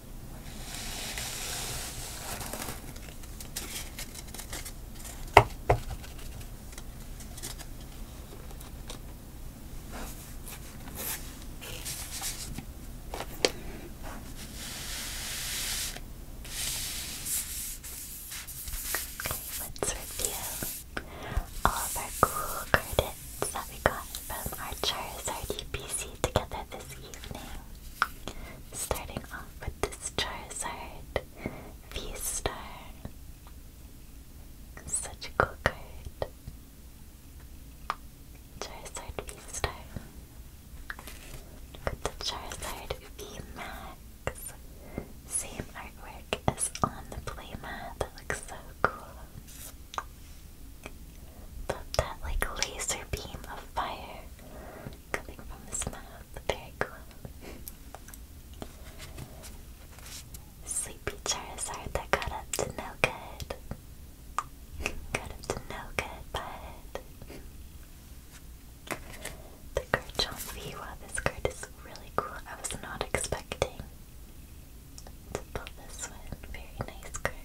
let's review all of our cool credits that we got from our Charizard UPC together this evening. Starting off with this Charizard V-Star. Such a cool card. Charizard V-Star. With the Charizard V-Max. Same artwork as on the playmat. That looks so cool. Love that like laser beam of fire coming from his mouth. Very cool. Sleepy Charizard that got up to no good. got up to no good, but the Garchomp Viwa. This card is really cool. I was not expecting to pull this one. Very nice card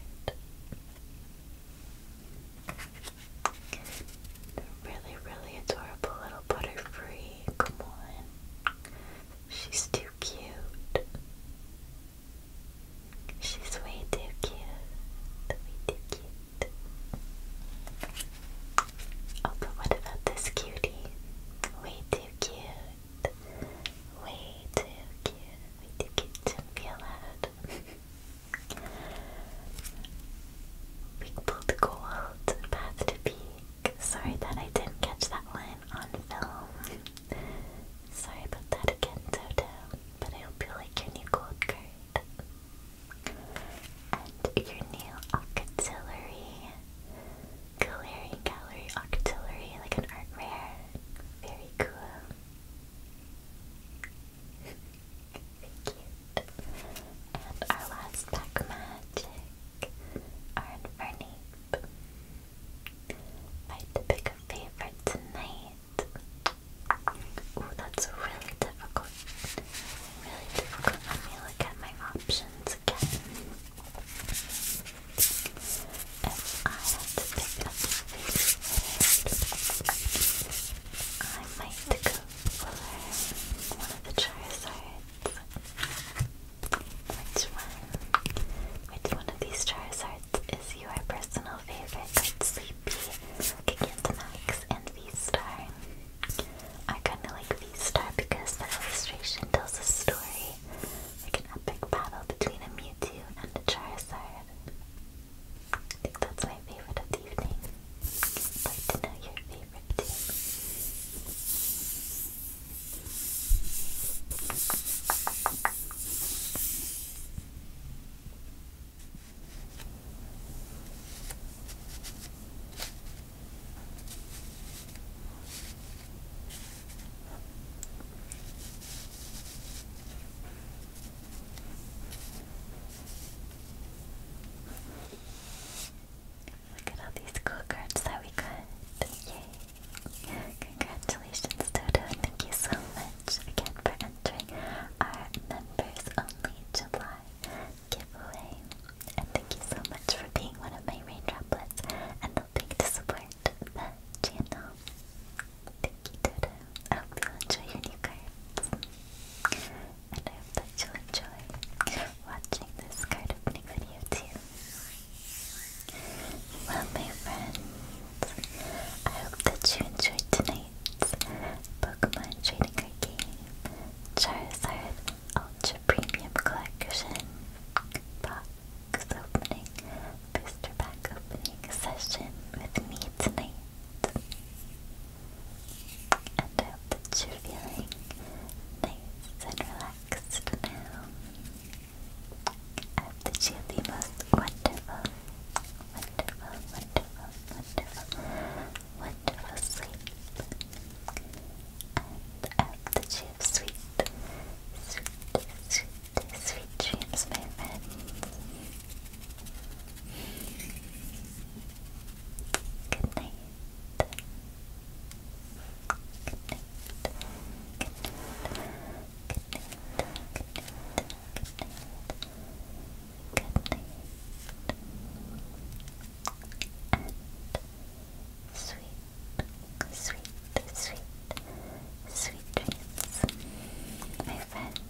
really, really adorable little butterfree. Come on. She's too cute. She's way too cute. Way too cute. Oh, but what about this cutie? Way too cute. Way too cute. Way too cute to be allowed. <laughs> Big Bull to Gold, Path to Peak. Sorry that I didn't catch that one on film. Sorry about that again, Toto. But I hope you like your new gold card. And your new Octillery. Gallery, Gallery, Octillery, like an art rare. Very cool. Cute. And our last pack magic, our Infernape. Right to pick a favorite tonight. Ooh, that's really difficult. Really difficult. Let me look at my options again. If I had to pick a favorite, I might go for one of the Charizards. Which one? Which one of these Charizards is your personal favorite? Like Sleepy, Gigantamax, and V-Star. I kinda like V-Star because the illustration tells a story. Like an epic battle between a Mewtwo and a Charizard. I think that's my favorite of the evening. I'd your favorite too. Look at all these cool cards that we got. Yay! Congratulations, Toto. Thank you so much again for entering our members only July giveaway. And thank you so much for being one of my rain droplets and helping to support the channel. Thank you, Toto. I hope you enjoy your new cards and I hope that you'll enjoy watching this card opening video too. Well, my friends, I hope that you enjoyed tonight's Pokemon Trading Card Game Charizard Ultra Premium Collection Box Opening Booster Pack Opening Session with me tonight. And that you're feeling nice and relaxed now. I that you have the most wonderful, wonderful, wonderful, wonderful, wonderful sleep. And that you have sweet, sweet, sweet, sweet dreams, my friends. Good night. Good night. Good night. Good night. Good night. Good night. Good night. sweet, sweet, sweet, sweet dreams, my friends.